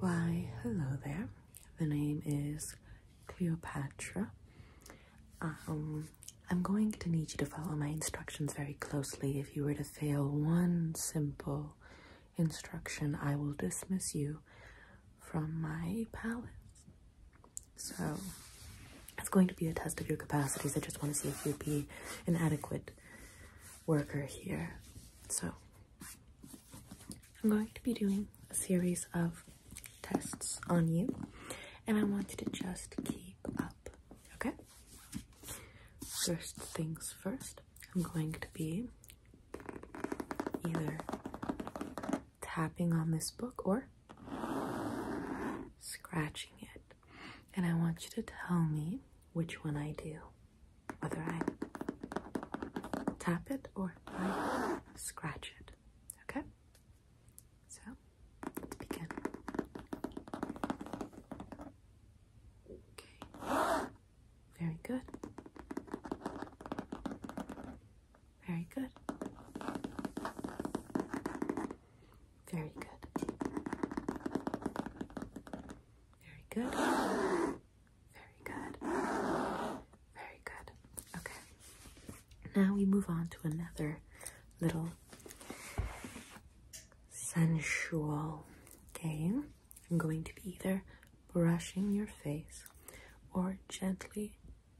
Why, hello there. The name is Cleopatra. Um, I'm going to need you to follow my instructions very closely. If you were to fail one simple instruction, I will dismiss you from my palace. So it's going to be a test of your capacities. I just want to see if you'd be an adequate worker here. So I'm going to be doing a series of tests on you, and I want you to just keep up, okay? First things first, I'm going to be either tapping on this book or scratching it. And I want you to tell me which one I do. Whether I tap it or I scratch it. Okay? So, let's begin. Okay. Very good. Very good. Very good. Very good. Very good. Very good. Okay. Now we move on to another little sensual game. I'm going to be either brushing your face or gently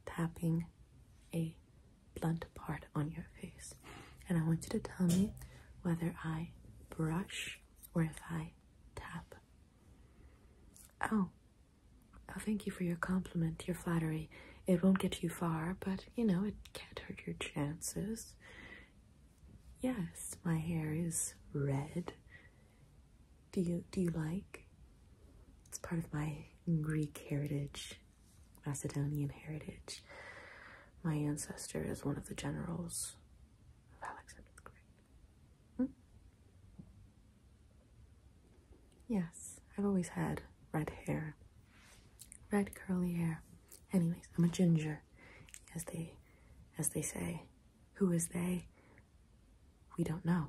tapping a blunt part on your face. And I want you to tell me whether I brush or if I tap. Oh, oh thank you for your compliment, your flattery. It won't get you far, but you know, it can't hurt your chances. Yes, my hair is red. Do you do you like? It's part of my Greek heritage. Macedonian heritage. My ancestor is one of the generals of Alexander the Great. Hmm? Yes, I've always had red hair, red curly hair. Anyways, I'm a ginger, as they, as they say. Who is they? We don't know.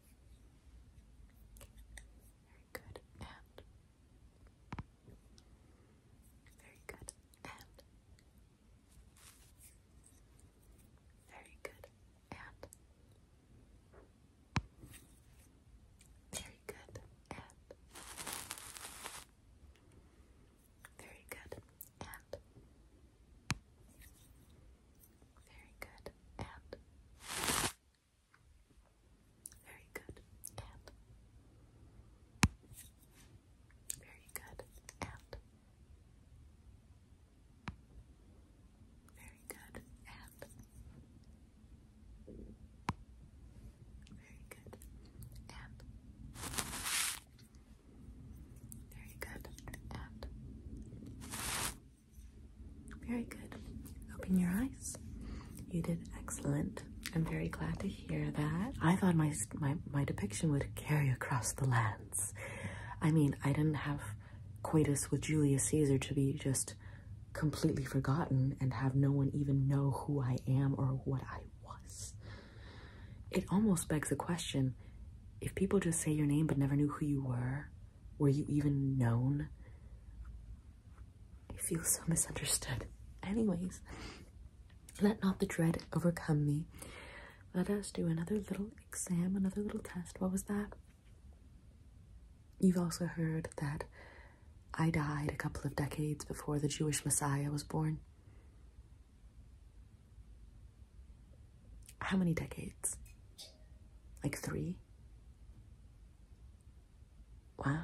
very good. And very good. And very good. And very good. And very good. And very good. And. Very good. And. Very good. And. Very good. And. Very good. And. Very good. And. Very good. Open your eyes. You did excellent. I'm very glad to hear that. I thought my my my depiction would carry across the lands. I mean, I didn't have coitus with Julius Caesar to be just completely forgotten and have no one even know who I am or what I was. It almost begs the question, if people just say your name but never knew who you were, were you even known? I feel so misunderstood. Anyways, let not the dread overcome me. Let us do another little exam, another little test. What was that? You've also heard that I died a couple of decades before the Jewish Messiah was born how many decades? Like three? Wow.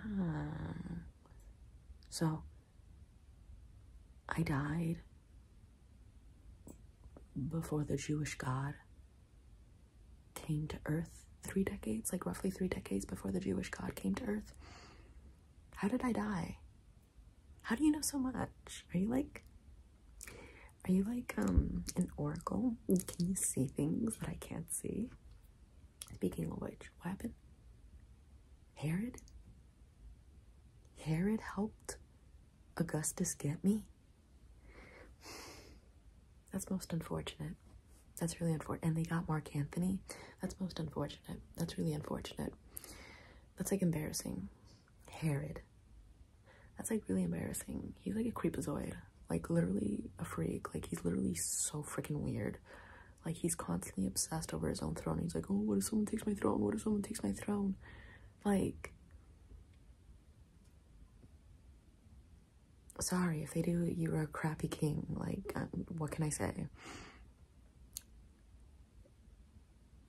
So I died before the Jewish God came to earth three decades, like roughly three decades before the Jewish God came to earth. How did I die? How do you know so much? Are you like are you like um an oracle? Can you see things that I can't see? Speaking of which, what happened? Herod? Herod helped Augustus get me? That's most unfortunate. That's really unfortunate. And they got Mark Anthony. That's most unfortunate. That's really unfortunate. That's like embarrassing. Herod. That's like really embarrassing. He's like a creepazoid. Like literally a freak. Like he's literally so freaking weird. Like he's constantly obsessed over his own throne. He's like, oh, what if someone takes my throne? What if someone takes my throne? Like, sorry if they do. You're a crappy king. Like, um, what can I say?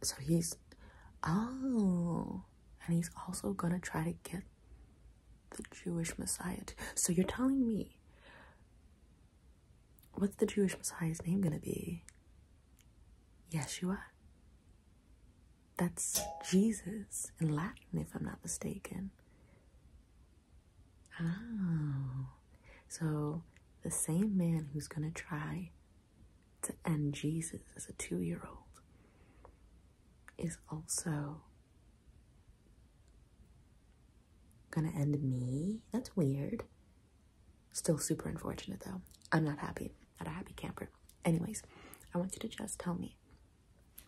so he's oh and he's also gonna try to get the Jewish Messiah. So you're telling me what's the Jewish Messiah's name gonna be? Yeshua. That's Jesus in Latin, if I'm not mistaken. Oh, so the same man who's gonna try to end Jesus as a two year old is also gonna end me. That's weird. Still super unfortunate though. I'm not happy. Not a happy camper. Anyways, I want you to just tell me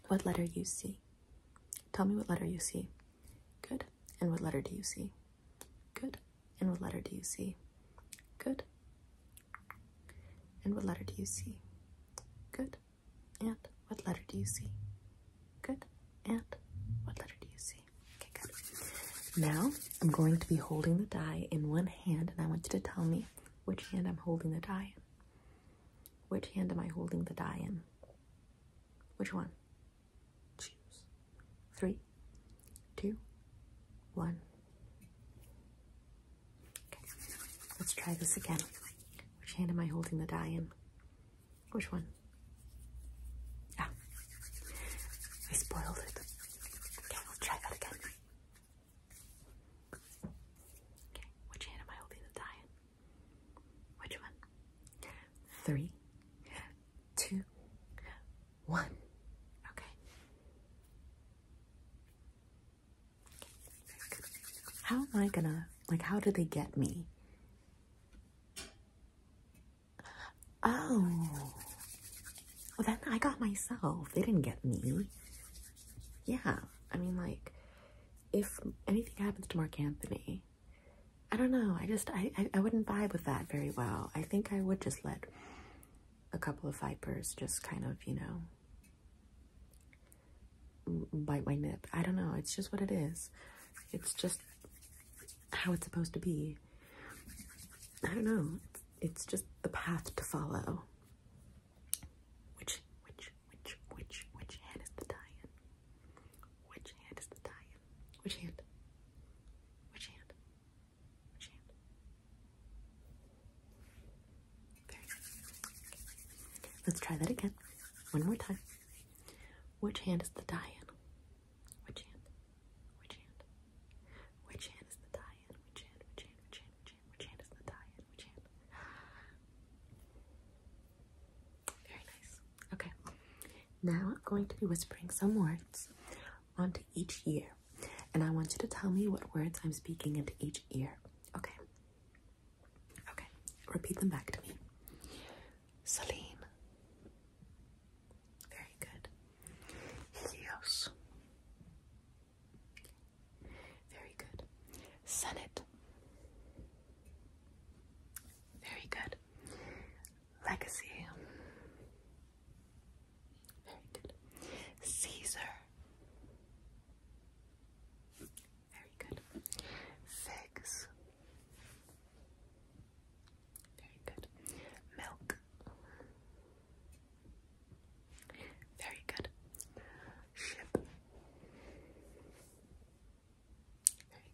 what letter you see. Tell me what letter you see. Good. And what letter do you see? Good. And what letter do you see? Good. And what letter do you see? Good. And what letter do you see? Good. And what letter do you see? Okay, good. Now I'm going to be holding the die in one hand, and I want you to tell me which hand I'm holding the die in. Which hand am I holding the die in? Which one? Choose. Three, two, one. Okay, let's try this again. Which hand am I holding the die in? Which one? Ah, I spoiled it. Okay, we'll try that again. Okay, which hand am I holding the die in? Which one? Three, two, one. Okay. How am I gonna, like, how do they get me? Oh. Well, then I got myself. They didn't get me. Yeah. I mean, like, if anything happens to Mark Anthony, I don't know. I just, I, I wouldn't vibe with that very well. I think I would just let a couple of vipers just kind of, you know, bite my nip. I don't know. It's just what it is. It's just how it's supposed to be. I don't know. It's, just the path to follow. Which, which, which, which, which hand is the tie-in? Which hand is the tie-in? Which hand? Which hand? Which hand? Very good. Let's try that again. One more time. Which hand is the die in? Which hand? Which hand? Which hand is the die in? Which hand? Which hand? Which hand? Which hand? Which hand is the die in? Which hand? Very nice. Okay. Now I'm going to be whispering some words onto each ear. And I want you to tell me what words I'm speaking into each ear. Okay. Okay. Repeat them back to me. Celine. Very good. Helios. Very good. Senate. Very good. Legacy. Very good. Caesar. Very good. Figs. Very good. Milk. Very good. Ship.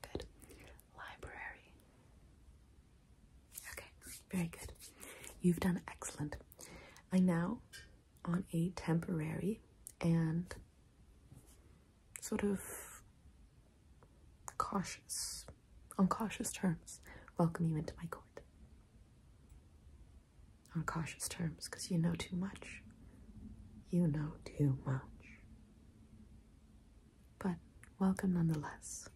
Very good. Library. Okay, very good. You've done excellent. I now, on a temporary and sort of cautious, on cautious terms, welcome you into my court. On cautious terms, because you know too much. You know too much. But welcome nonetheless.